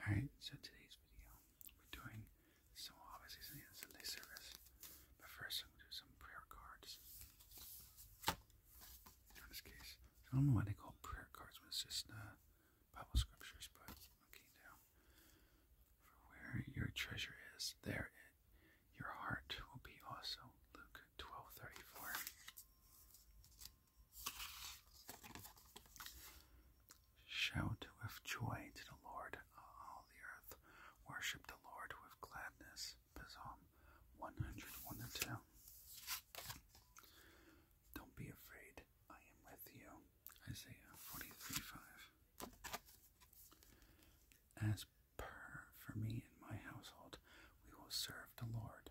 Alright, so today's video, we're doing so obviously Sunday service, but first I'm going to do some prayer cards. In this case, I don't know why they call prayer cards when it's just uh, Bible scriptures, but okay now. where your treasure is, there it, your heart will be also. Luke 12:34. Shout with joy to the Lord, all the earth. Worship the Lord with gladness. Psalm 101 to 2. Don't be afraid, I am with you. Isaiah 43 5. As per for me and my household, we will serve the Lord.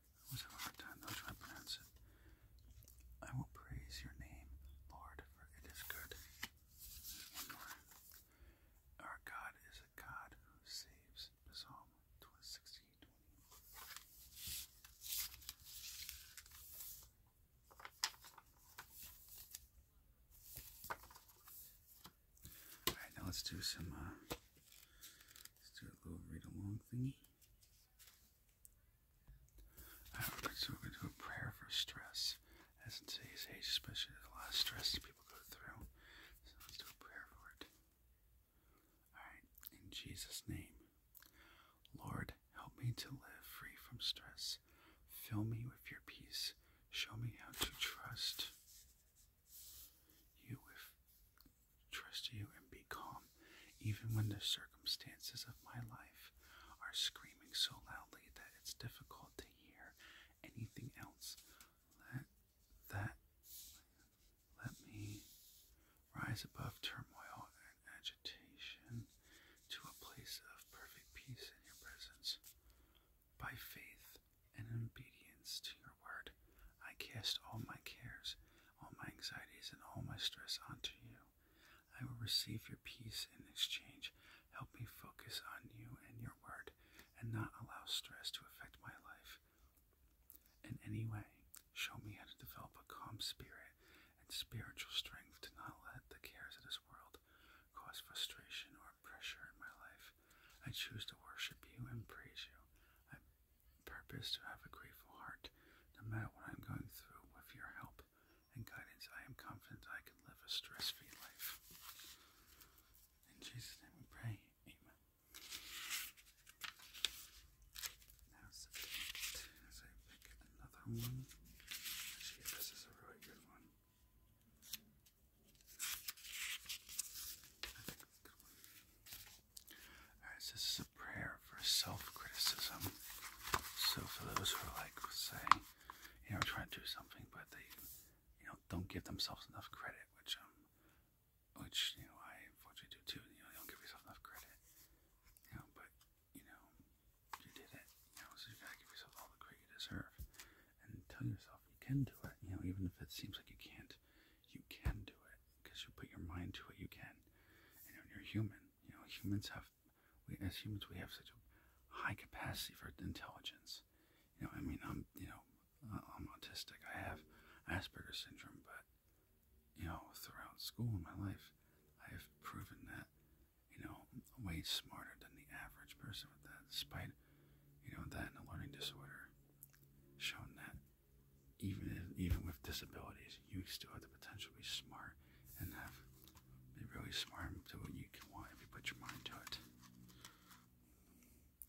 I always have a hard time trying to pronounce it. I will praise your name, Lord, for it is good. One more. Our God is a God who saves. Psalm 16, Alright, now let's do some, uh, let's do a little read-along thingy so we're going to do a prayer for stress. As in today's age, especially there's a lot of stress people go through. So let's do a prayer for it. Alright, in Jesus' name. Lord, help me to live free from stress. Fill me with your peace. Show me how to trust you with trust you and be calm, even when the circumstances of my life are screaming so loudly that it's difficult to hear anything else. Let that let me rise above turmoil and agitation to a place of perfect peace in your presence. By faith and obedience to your word, I cast all my cares all my anxieties and all my stress onto you. I will receive your peace in exchange. Help me focus on you and your word and not allow stress to affect my life in any way. Show me how to develop a calm spirit and spiritual strength to not let the cares of this world cause frustration or pressure in my life. I choose to worship you and praise you purpose to have a grateful heart, no matter what I'm going through. With your help and guidance, I am confident I can live a stress-free life. In Jesus' name we pray. Amen. Now as I pick another one. this is a really good one. Alright, so this is a prayer for self criticism. So, for those who are like, say, you know, trying to do something, but they, you know, don't give themselves enough credit, which, um, which, you know, I unfortunately do too, you know, you don't give yourself enough credit, you know, but, you know, you did it, you know, so you gotta give yourself all the credit you deserve and tell yourself you can do it, you know, even if it seems like you can't, you can do it, because you put your mind to it, you can. And you're human. You know, humans have, we, as humans, we have such a high capacity for intelligence. You know, I mean, I'm, you know, I'm autistic. I have Asperger's syndrome, but you know, throughout school and my life, I have proven that, you know, I'm way smarter than the average person with that, despite, you know, that and a learning disorder, shown that even even with disabilities, you still have the potential to be smart and have really smart and do what you can want if you put your mind to it.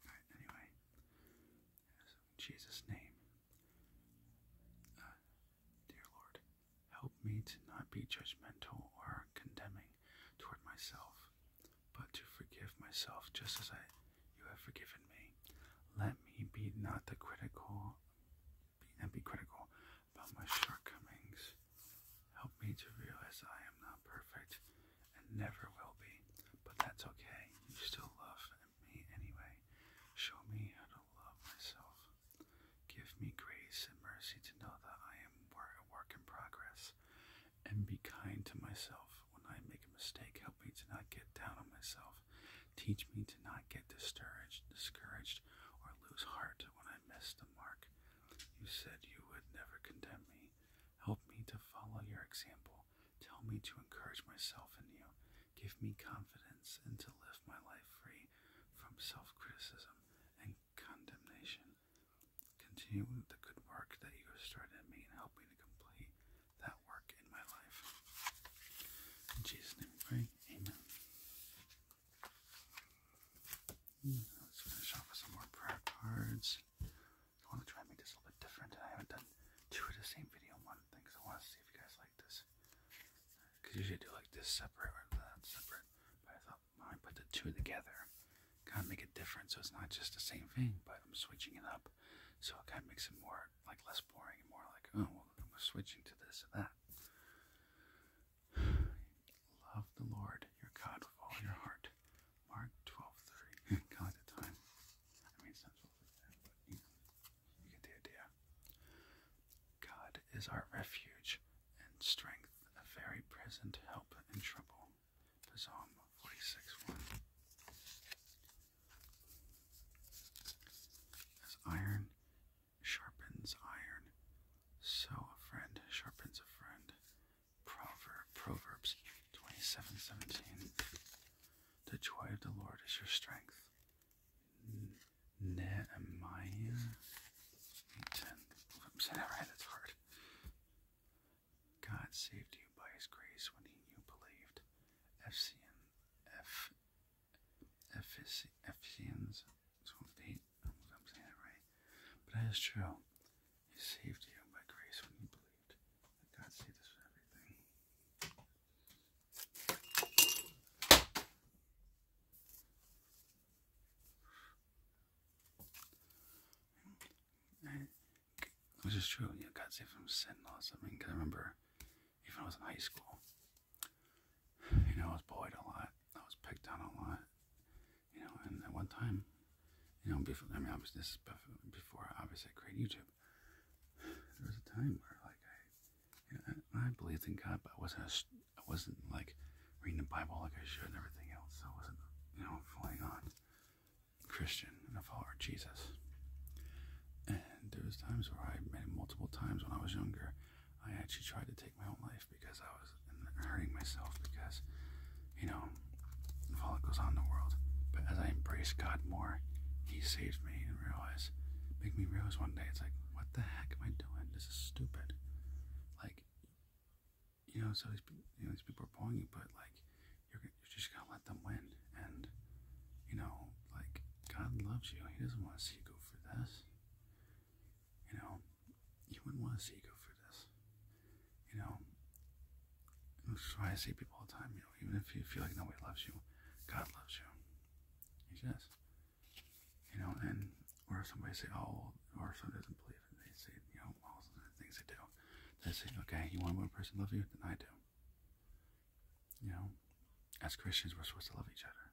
Alright, anyway. In Jesus' name. Uh, dear Lord, help me to not be judgmental or condemning toward myself but to forgive myself just as I you have forgiven me. Let me be not the critical be not be critical about my shortcomings. Help me to realize I am not perfect and never will be. But that's okay. You still love me anyway. Show me how to love myself. Give me grace and mercy to know that I am a work in progress. And be kind to myself. When I make a mistake, help me to not get down on myself. Teach me to not get discouraged, discouraged, or lose heart when I miss the mark. You said you would never condemn me. Help me to follow your example. Tell me to encourage myself in you. Give me confidence and to live my life free from self criticism and condemnation. Continue with the good work that you started me and help me to complete that work in my life. In Jesus' name we pray. Amen. Hmm, let's finish off with some more prayer cards. I want to try and make this a little bit different. I haven't done two of the same video one thing, so I want to see if you guys like this. Because usually do like this separate or that separate. But I thought, I put the two together kind of make a difference. So it's not just the same thing, but I'm switching it up. So it kind of makes it more like less boring and more like, oh, well, I'm switching to this and that. Love the Lord your God with all your heart. Mark 12 3. God time. I mean, it's not but you get the idea. God is our refuge and strength, a very present help in trouble to 46 1. As iron sharpens iron, so a friend sharpens a friend. Proverb, Proverbs twenty-seven seventeen. The joy of the Lord is your strength. Nehemiah 10. Oops, I never had it hard. God saved you by his grace when he you believed. Ephesians 8. I am saying it right. But that is true. He saved you by grace when you believed. God saved us with everything. Which is true, you got saved from sin laws. something. cause I remember even when I was in high school, you know, I was bullied a lot. I was picked on a lot. You know, and at one time, you know, before, I mean, obviously, this before, obviously, I created YouTube. There was a time where, like, I, I, believed in God, but I wasn't, a, I wasn't, like, reading the Bible like I should and everything else. So I wasn't, you know, fully on. Christian and I follower Jesus. And there was times where I many multiple times when I was younger, I actually tried to take my own life because I was hurting myself because, you know, all that goes on the world. But as I embraced God more, He saved me and realized, make me realize one day, it's like, what the heck am I doing? This is stupid. Like, you know, so these people, these people are pulling you, but like, you're, you're just going to let them win. And, you know, like, God loves you. He doesn't want to see you go for this. You know, He wouldn't want to see you go for this. You know, that's why I see people all the time, you know, even if you feel like nobody loves you, God loves you. He does. You know, and, or if somebody say, oh, our son doesn't believe and they say, you know, all the things they do. They say, okay, you want one person to love you? Then I do. You know, as Christians, we're supposed to love each other.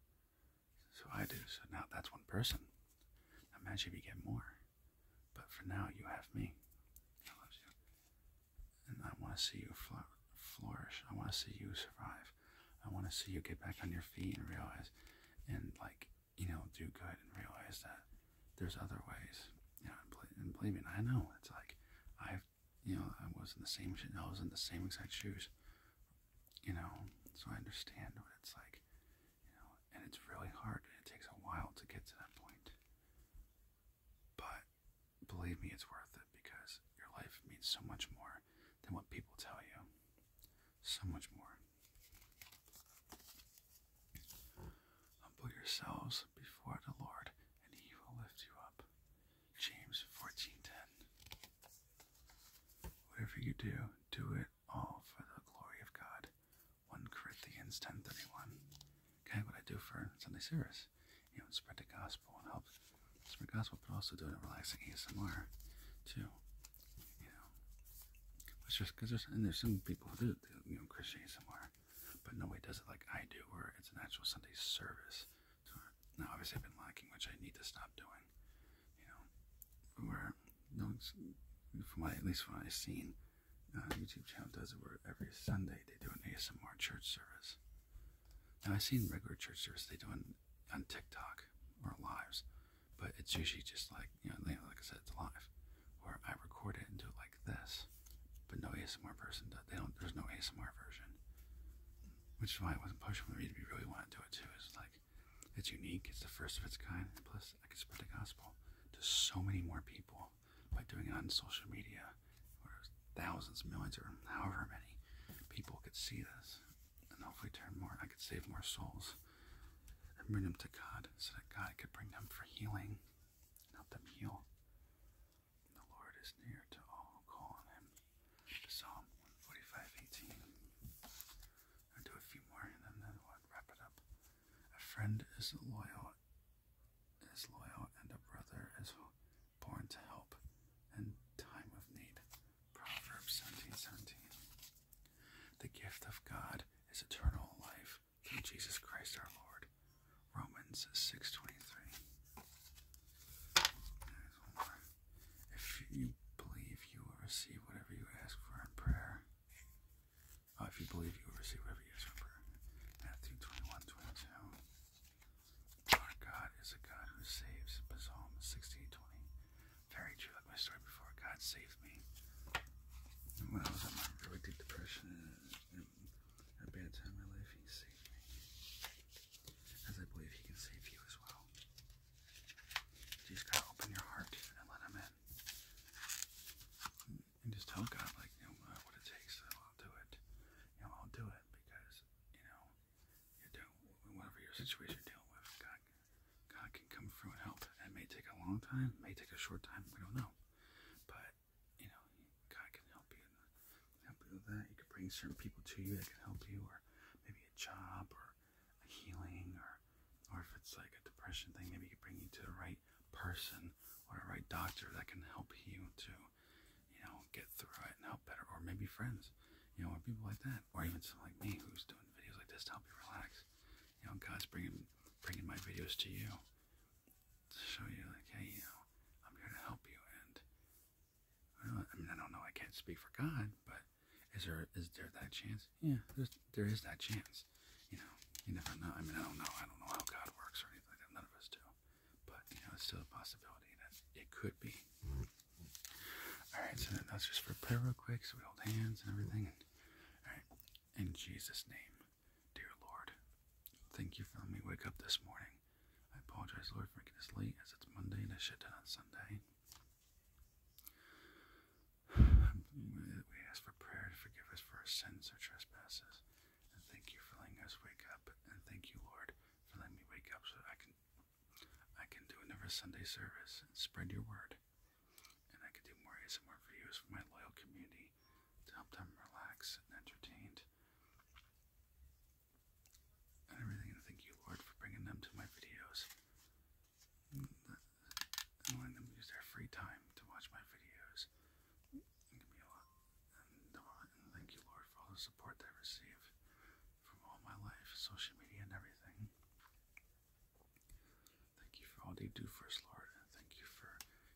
So I do. So now that's one person. Imagine if you get more. But for now, you have me. I love you. And I want to see you flourish. I want to see you survive. I want to see you get back on your feet and realize and like you know, do good and realize that there's other ways. You know, and, believe me, I know it's like I've, you know, I was in the same shit. I was in the same exact shoes. You know, so I understand what it's like. You know, and it's really hard. it takes a while to get to that point. But believe me, it's worth it because your life means so much more than what people tell you. So much more. Humble yourselves before the Lord, and he will lift you up. James 14:10. Whatever you do, do it all for the glory of God. 1 Corinthians 10:31. Okay, what I do for Sunday service. You know, spread the gospel and help spread the gospel, but also do it in relaxing ASMR too you know, it's just there's and there's some people who do you know Christianism somewhere, but nobody does it like I do, where it's an actual Sunday service. now, obviously, I've been lacking, which I need to stop doing. You know, where no one's, from what, at least from what I've seen, uh, YouTube channel does it where every Sunday they do an ASMR church service. Now I've seen regular church service they do on, on TikTok or lives, but it's usually just like, you know, like I said, it's live. or I record it and do it like this. But no ASMR person does. They don't, there's no ASMR version. Which is why I wasn't pushing the reason we really want to do it too. It's like, it's unique. It's the first of its kind. Plus, I can spread the gospel to so many more people by doing it on social media, where thousands, millions, or however many people could see this, and hopefully turn more. and I could save more souls and bring them to God so that God could bring them for healing, and help them heal. The Lord is near to all who call on him. Psalm 145:18. I'll do a few more and then wrap it up. A friend is loyal is loyal and a brother is born to help in time of need. Proverbs 17:17. The gift of God is eternal life through Jesus Christ our Lord. Romans 6:23. If you believe you will receive whatever you ask for in prayer, uh, if you believe you will receive whatever you ask for Matthew 21 Our God is a God who saves, Psalm 16 very true, like my story before. God saved me. when I was in my really deep depression a bad time in my life, He saved me. As I believe He can save you as well. You just gotta open your heart and let Him in. And just tell God, like, you know, what it takes, I'll do it. You know, I'll do it because, you know, you do whatever your situation you're dealing with, God God can come through and help. It may take a long time, may take a short time, we don't know. But, you know, God can help you. Help you with that. You can bring certain people to you that can help you, or maybe a job, or a healing, or, or if it's like a depression thing, maybe you can bring you to the right person or the right doctor that can help you to, you know, get through it and help better, or maybe friends, you know, or people like that or even someone like me who's doing videos like this to help you relax. You know, God's bringing bringing my videos to you to show you, like, hey, you know, I'm here to help you. And I mean, I don't know, I can't speak for God, but is there is there that chance? Yeah, there's, there is that chance. You know, you never know. I mean, I don't know. I don't know how God works or anything like that. None of us do. But you know, it's still a possibility that it could be. Alright, so that's just prepare real quick, so we hold hands and everything. Alright, in Jesus' name, dear Lord, thank you for letting me wake up this morning. I apologize, Lord, for getting this late, as it's Monday and I should have done on Sunday. We ask for prayer to forgive us for our sins or trespasses. And thank you for letting us wake up. And thank you, Lord, for letting me wake up so I can I can do another Sunday service and spread your word. And I can do more ASMR videos for my loyal community to help them relax and entertained. And I really want to thank you, Lord, for bringing them to my videos and letting them use their free time to watch my videos. And give a lot. Uh, and, thank you, Lord, for all the support they receive from all my life, social media and everything. Thank you for all they do for us, Lord, and thank you for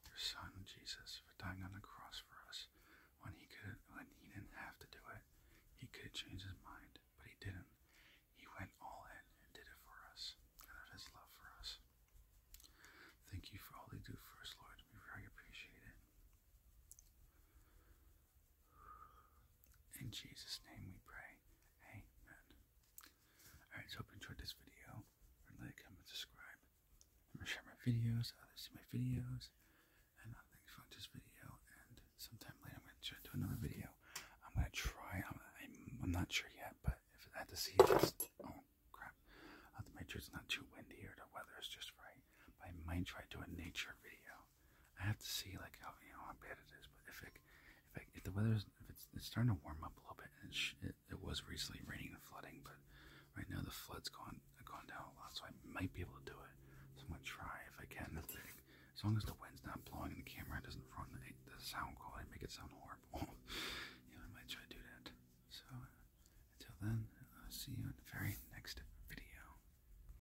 your Son, Jesus, for dying on the cross for us when he could when he didn't have to do it. He could change his mind, but he didn't. He went all in and did it for us, out of his love for us. Thank you for all they do first Lord. We very appreciate it. In Jesus' name we pray. Amen. Alright, so hope you enjoyed this video. Like, comment, subscribe. share my videos, others see my videos. And uh, thanks for this video. And sometime later, I'm going to do another video. I'm going to try. I'm, not sure yet, but if I have to see Oh, crap. I uh, have not too windy or the weather is just right. I might try to do a nature video. I have to see like how you know how bad it is. But if it, if the weather is if it's, it's starting to warm up a little bit, and it, was recently raining and flooding, but right now the flood's gone gone down a lot, so I might be able to do it. So I'm gonna try if I can. If they, as long as the wind's not blowing and the camera doesn't run the, sound quality, make it sound horrible. you know, I might try to do that. So until then, I'll see you in the very next video.